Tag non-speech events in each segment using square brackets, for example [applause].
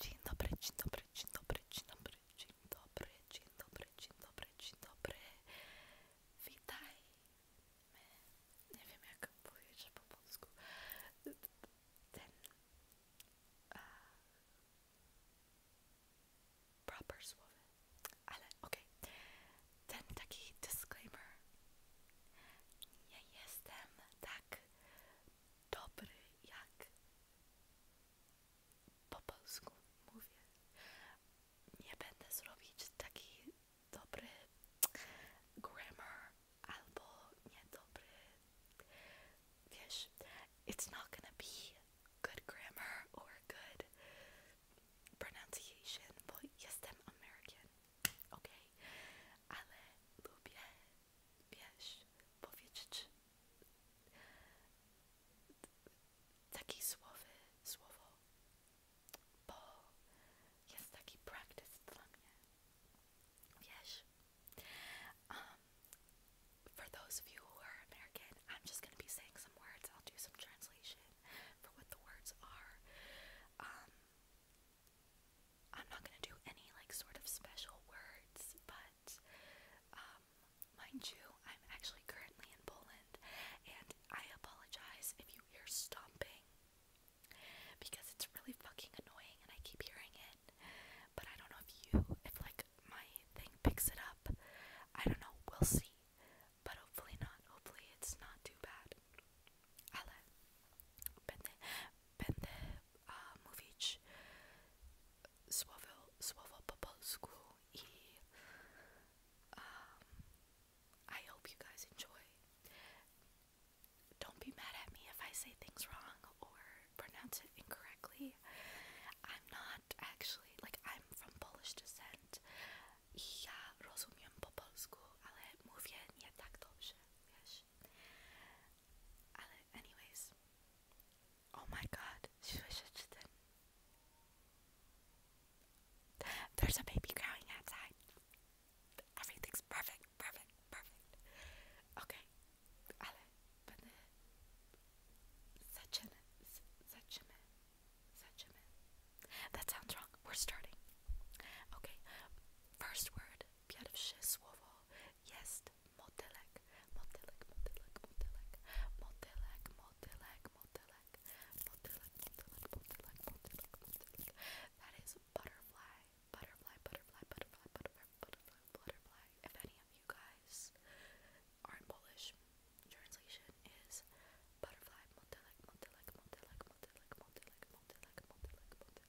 Dzień dobry, dzień dobry, dzień dobry, dzień dobry, dzień dobry, dzień dobry, dzień dobry, dzień dobry. Witajmy. Nie wiem jak powiedzieć po polsku. Ten proper słowy. Ale okej. Ten taki disclaimer. Nie jestem tak dobry jak po mówię. Nie będę zrobić taki dobry grammar albo niedobry. Wiesz, it's not gonna be good grammar or good pronunciation, bo jestem American, ok? Ale lubię Yes, powiedzieć takie słowy, słowo, bo jest taki practice dla um, for those of you who are American, I'm just going to be saying some words. I'll do some translation for what the words are. Um, I'm not gonna do any like sort of special words, but um, mind you, I'm actually currently in Poland, and I apologize if you hear stomping because it's really fucking annoying, and I keep hearing it. But I don't know if you, if like my thing picks it up. I don't know. We'll see. But hopefully not. Hopefully it's not too bad. Ale będę, będę a mówić słowo, słowo po polsku i I hope you guys enjoy. Don't be mad at me if I say things wrong or pronounce it incorrectly. I'm not actually, like, I'm from Polish descent. I ja po polsku, ale mówię nie tak dobrze, anyways, oh my God, she was just There's a baby crying outside. Everything's perfect, perfect, perfect. Okay, ale będę zaczynę, zaczynę, zaczynę. That sounds wrong. We're starting. Okay, first word Pierw słowo jest motylek. Motylek, motylek, motylek. Motylek, motylek, motylek. Motylek, motylek, motylek, motylek, That is butterfly. Butterfly, butterfly, butterfly, butterfly, butterfly, butterfly. If any of you guys are Polish, translation is butterfly, motylek, motylek, motylek, motylek, motylek, motylek, motylek, motylek.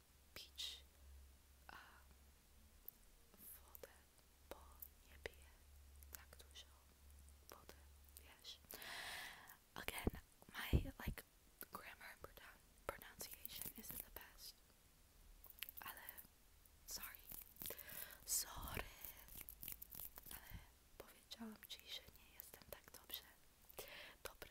Uh, peach Again, my like grammar pronunciation isn't the best. sorry. Sorry. Ale powiedziałam ci, że nie jestem tak dobrze. Dobry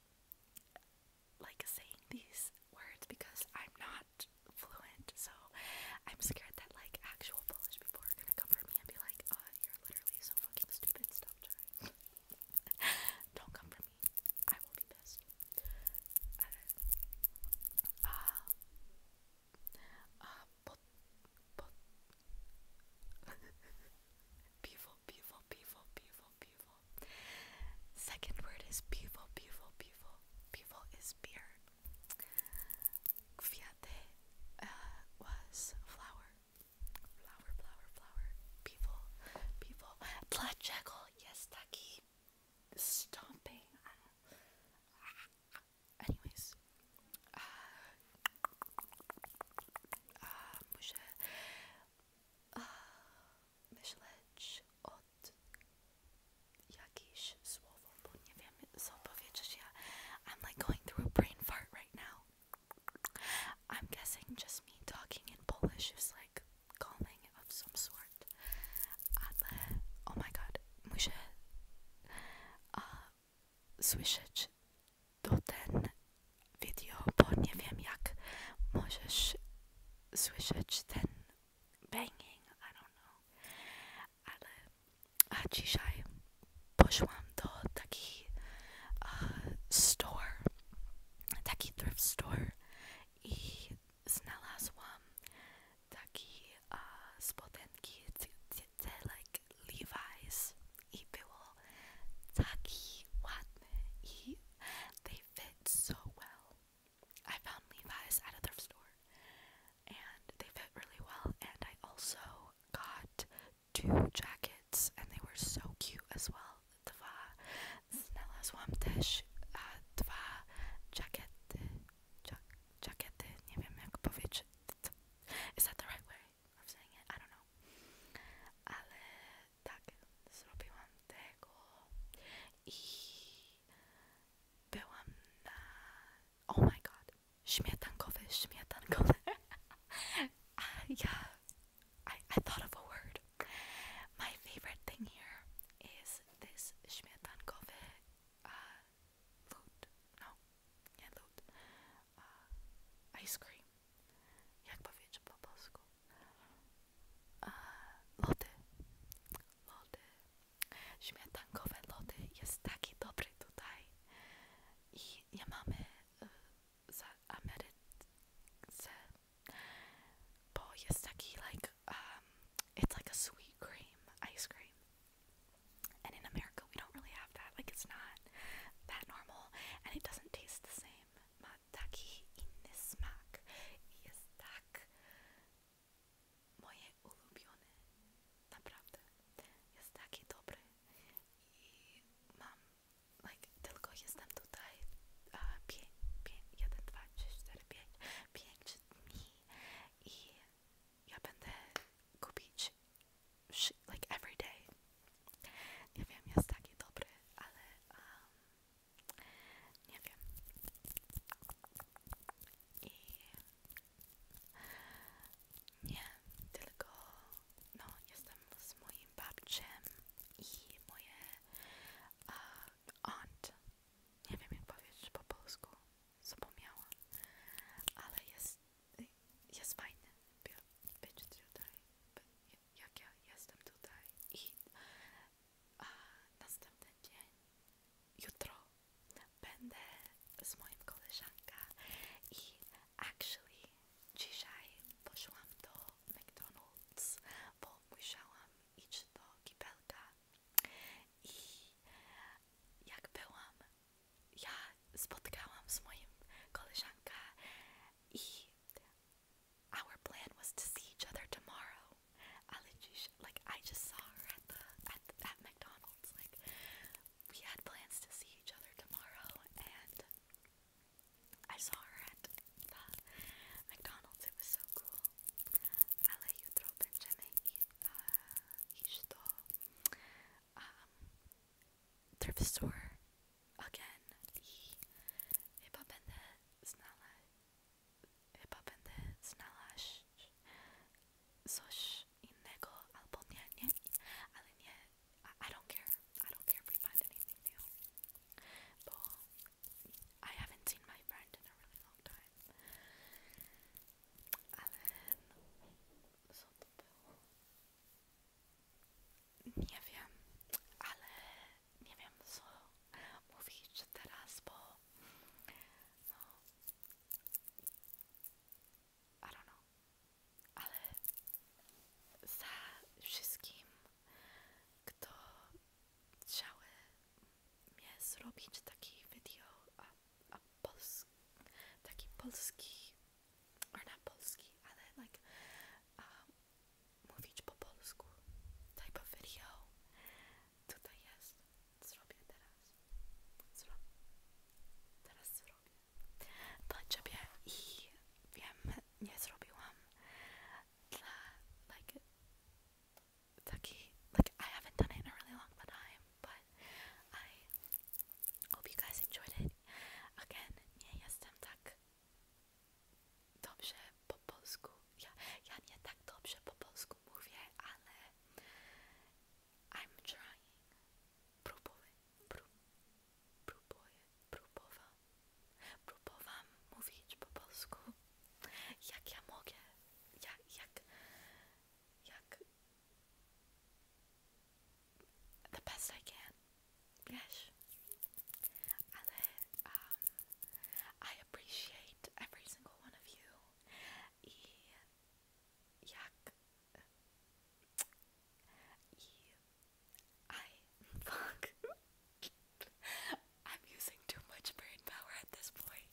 like saying these words because I'm not fluent, so I'm scared that like actual Polish people are gonna come for me and be like, oh, you're literally so fucking stupid, stop trying. [laughs] Don't come for me. I will be pissed. Uh, uh, beautiful, beautiful, beautiful, beautiful, beautiful. Second word is beautiful, beautiful, beautiful. Beautiful is beer. Fiate uh, was flower. Flower, flower, flower. Beautiful, beautiful. Blood jackal, yes, Taki. Stomping. Ah, ah, ah. Anyways, uh, Ah, I'm like going through a brain fart right now. I'm guessing just me talking in Polish is like calming of some sort. oh my god, muszę uh, ah, słyszeć to ten video, bo nie wiem jak możesz słyszeć ten banging, I don't Ale a dzisiaj poszłam do taki store, taki thrift store i znalazłam taki uh, Levi's Watme. They fit so well. I found Levi's at a thrift store and they fit really well. And I also got two jackets and they were so cute as well. Dwa snella złam też dwa jackety. Jackety, nie Is that the right way? of saying it, I don't know, ale tak, zrobiłam tego i byłam na, oh my god, śmietankowy, śmietankowy, uh, [laughs] yeah, I, I thought of a word, my favorite thing here is this śmietankowy uh, food, no, nie lód, uh, ice cream, jak powiedzieć po polsku, uh, lody, lody, śmietankowe lody jest taki dobry tutaj i nie mamy za Ameryce, bo jest taki like, um, it's like a sweet cream, ice cream and in America, we don't really have that. Like, it's not that normal, and it doesn't taste the same. Mataki inesmak tak moje ulubione. Naprawdę. Jest taki dobry. I mam, like, tylko jestem tutaj 5, 1, 2, 3, 4, 5, 5 dni i ja będę kupić like every day. Nie wiem, jest taki dobry, ale um, nie wiem. nie, tylko no, z moim babciem i moje aunt. Nie wiem jak powiedzieć po polsku. zapomniałam, ale jest, jest fajny być tutaj, jak ja jestem tutaj i a, następny dzień, jutro będę z moim koleżanką i actually dzisiaj poszłam do McDonald's, bo musiałam iść do kibelka i jak byłam ja spotkałam z moim koleżanką i our plan was to see each other tomorrow. like I just saw her at the at, at McDonald's. Like we had plans to see each other tomorrow and I saw her at the McDonald's. It was so cool. Ale jutro będziemy i, uh, iść do um, thrift store again. I don't care. I don't care if we find anything new. But I haven't seen my friend in a really long time. ale no, Nie wiem, ale nie wiem co mówić teraz, bo no, I ale za wszystkim, kto chciały mnie zrobić taki video, a pols taki polski, or not polski, ale like um, mówić polsku type of video. Tutaj jest. Zrobię teraz. Zro teraz zrobię. Dla ciebie i wiem, nie zrobiłam. Dla, like, Sucky. Like, I haven't done it in a really long time, but I hope you guys enjoyed it. Again, nie jestem tak dobrze po polsku. Ja, ja nie tak dobrze po polsku mówię, ale I'm trying. Próbuję. Pró, próbuję. Próbowam. Próbowam mówić po polsku. Jak ja mogę. Jak, jak, yuck. The best I can. Yes. Ale, um, I appreciate every single one of you. I yuck. [laughs] I fuck. I'm using too much brain power at this point.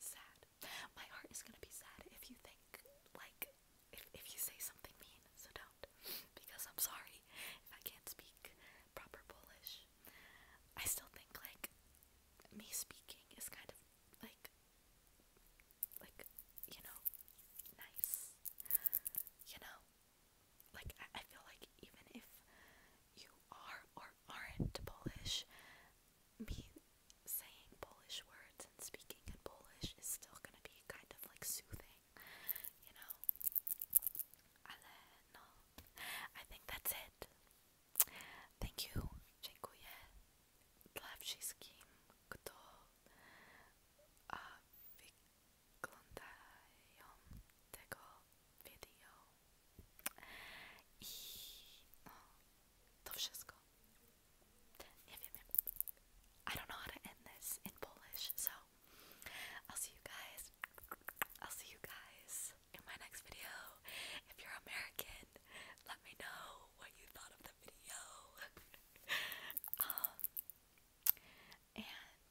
sad. My heart is gonna be sad if you think, like, if, if you say something mean, so don't. Because I'm sorry if I can't speak proper Polish. I still think, like, me speaking is kind of, like, like, you know, nice. You know? like I, feel like even if you are or aren't Polish, me saying Polish words and speaking in Polish is still gonna be kind of like soothing, you know. I think that's it. Thank you, I don't know how to end this in Polish, so I'll see you guys. I'll see you guys in my next video. If you're American, let me know what you thought of the video. [laughs] um, and